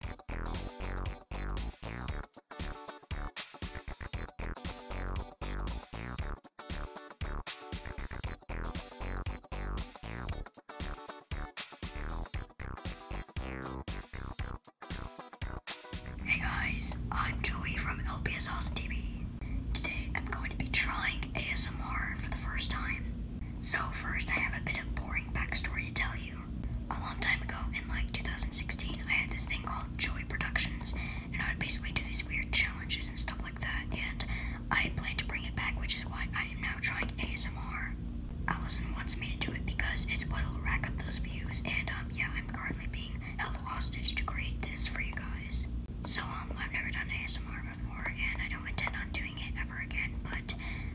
Hey guys, I'm Joey from LPS Austin TV. Today I'm going to be trying ASMR for the first time. So first I have a bit of boring backstory to tell you you. A long time ago, in like 2016, I had this thing called Joy Productions, and I would basically do these weird challenges and stuff like that, and I plan to bring it back, which is why I am now trying ASMR. Allison wants me to do it because it's what'll rack up those views, and um, yeah, I'm currently being held hostage to create this for you guys. So, um, I've never done ASMR before, and I don't intend on doing it ever again, but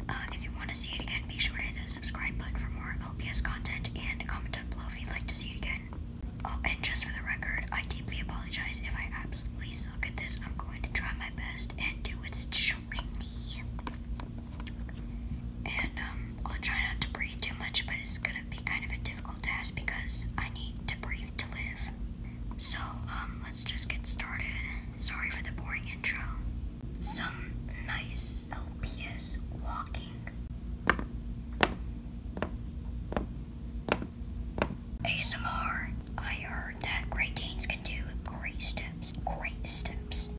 uh, if you want to see it again, be sure to hit the subscribe button for more LPS content and comment down below if you'd like to see it again. Oh, and just for the record, I deeply apologize if I absolutely suck at this. I'm going to try my best and do what's trendy. And um, I'll try not to breathe too much, but it's gonna be kind of a difficult task because I need to breathe to live. So, um, let's just get started. Sorry for the boring intro. Some nice LPS walking. ASMR. I heard that great teens can do great steps. Great steps.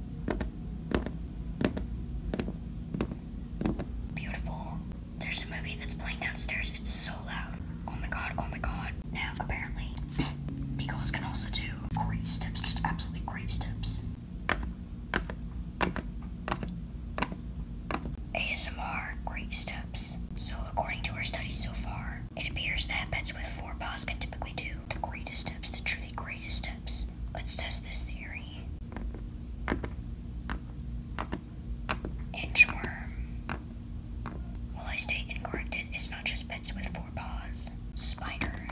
Beautiful. There's a movie that's playing downstairs. It's so loud. Oh my god, oh my god. Now, apparently, Migos can also do great steps, just absolutely great steps. ASMR great steps. So, according to our studies so far, it appears that pets with four paws can typically do the greatest steps, the truly greatest steps. Let's test this theory. Inchworm. While I stay incorrected, it's not just pets with four paws. Spider.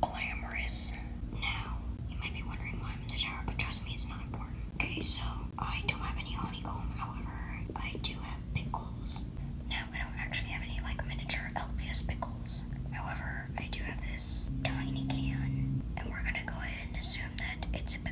Glamorous. Now, you might be wondering why I'm in the shower, but trust me, it's not important. Okay, so I don't have any honeycomb, however, I do have pickles. Now, I don't actually have any like miniature LPS pickles. However, I do have this tiny can, and we're gonna go ahead and assume that it's a picture.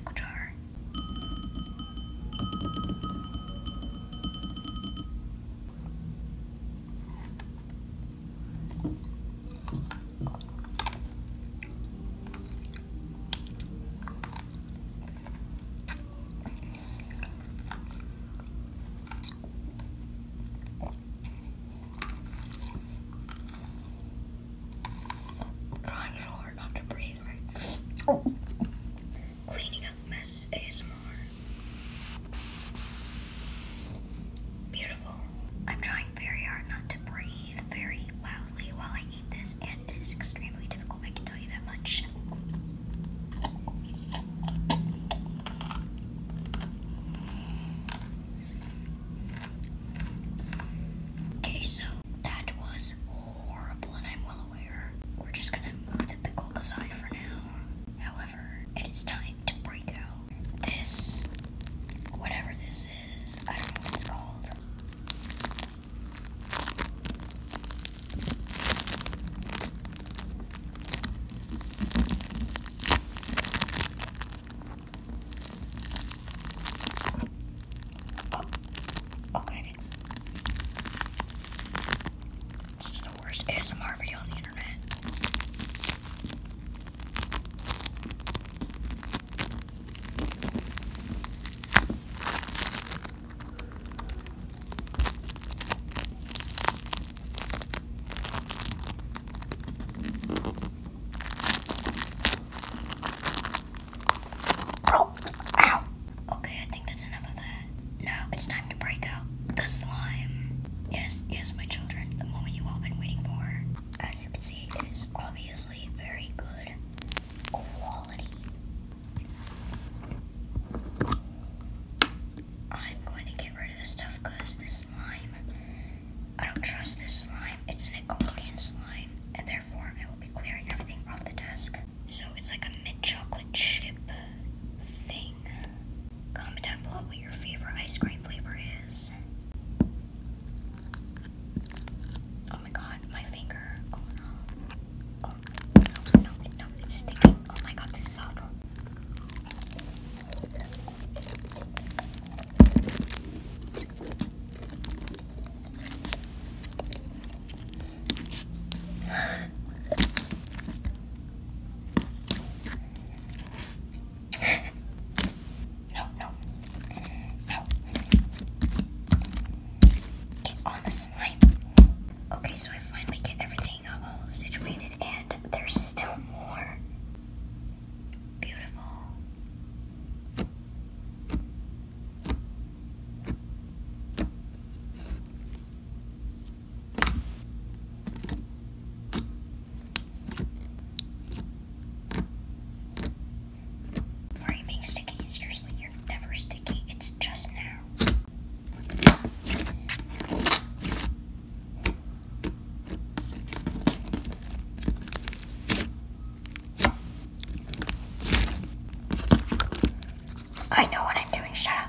Trying so hard not to breathe, Oh. Cleaning up mess ASMR. Beautiful. I'm trying very hard not to breathe very loudly while I eat this, and it is extremely difficult, I can tell you that much. Okay, so that was horrible, and I'm well aware. We're just gonna move the pickle aside for now. However, it is time to break out this, whatever this is, I don't know what it's called. Oh, this is the worst ASMR video on the internet. Oh, okay, I think that's enough of that. Now it's time to break out the slime. Yes, yes, my children, the moment you've been waiting for. As you can see, it is obviously very good quality. I'm going to get get rid of this stuff because this slime, I don't trust this slime. It's an Nickelodeon slime, and therefore I will be clearing everything off the desk. So it's like a mint chocolate chip thing. Comment down below what your favorite ice cream flavor is. Oh my god, my finger. Oh no. Oh no, no, no, it's sticking. Oh my god, this is awful no, no, no. Get on the slime. Okay, so I finally get everything all situated, and there's still more. Beautiful. Are you being sticky? Seriously, you're never sticky. It's just now. I know what I'm doing, shut up.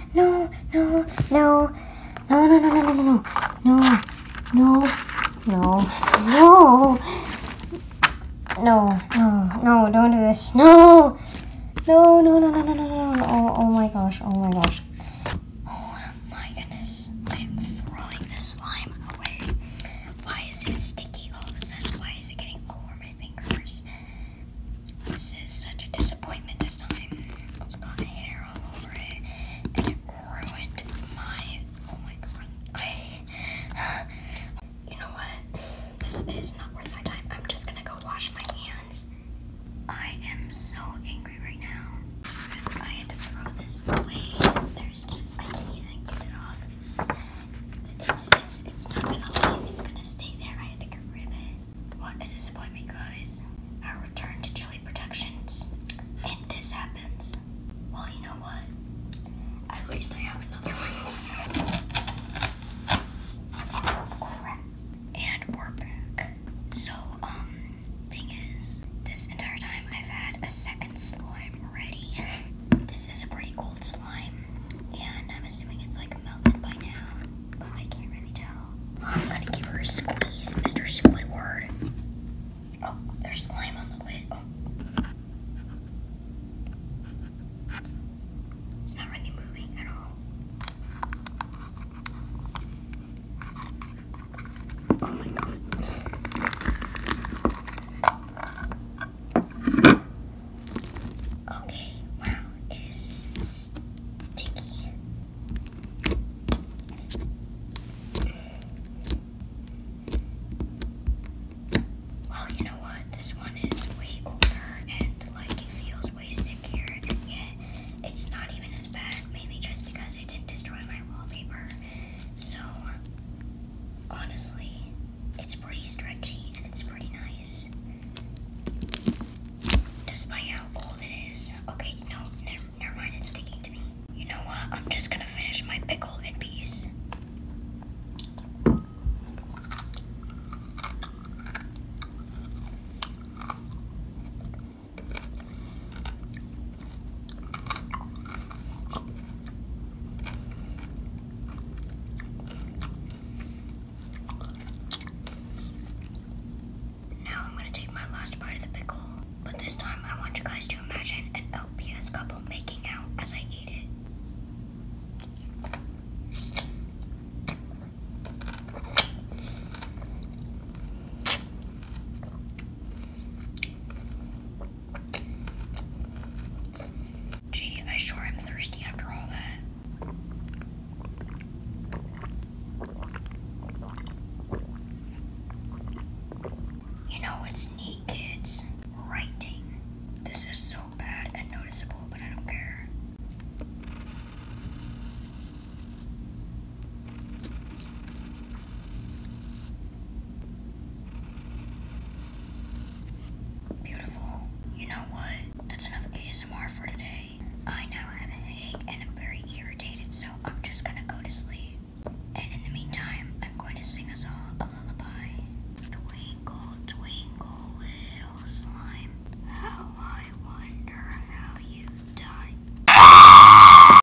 no, no, no, no, no, no, no, no, no, no, no, no, no, no, no, no, don't do this, no, no, no, no, no, no, no, no, no, oh, oh my gosh, oh my gosh. Oh my goodness, I am throwing this slime away. Why is it sticky all of a sudden? Why is it getting all over my fingers? This is such a disappointment this time. It's got hair all over it, and it ruined my. Oh my god! I. you know what? This is not worth my time. I'm just gonna go wash my hands. I am so angry right now. I had to throw this away. There's just I can't get it off. It's not gonna leave. It's gonna stay there. I had to get rid of it. What a disappointment, guys. Our return to Chili Productions, and this happens. Well, you know what? At least I have another one. Crap. And we So, um, thing is, this entire time I've had a second slime This is a pretty old slime, and I'm assuming it's like melted by now, but I can't really tell. I'm gonna give her a squeeze, Mr. Squidward. Oh, there's slime on the lid. Oh. It's not really moving at all. Oh my god. Okay, wow, it is sticky. Well, you know what? This one is way older and like it feels way stickier, yet it's not even as bad, mainly just because it didn't destroy my wallpaper. So, honestly, it's pretty stretchy and it's pretty nice. Despite how cold it is. Okay, no, never, mind, it's sticking to me. You know what? I'm just gonna finish my pickle in peace. Now I'm going to take my last bite of the pickle, but this time I want you guys to imagine an LPS couple making out as I eat it. Gee, I sure am thirsty after all that. You know what's neat, kids? Writing. This is so bad and noticeable, but I don't care. Beautiful. You know what? That's enough ASMR for today. I now have a headache and I'm very irritated, so I'm just gonna go to sleep. And in the meantime, I'm going to sing us all a lullaby. Twinkle, twinkle, little slime. How I wonder how you die.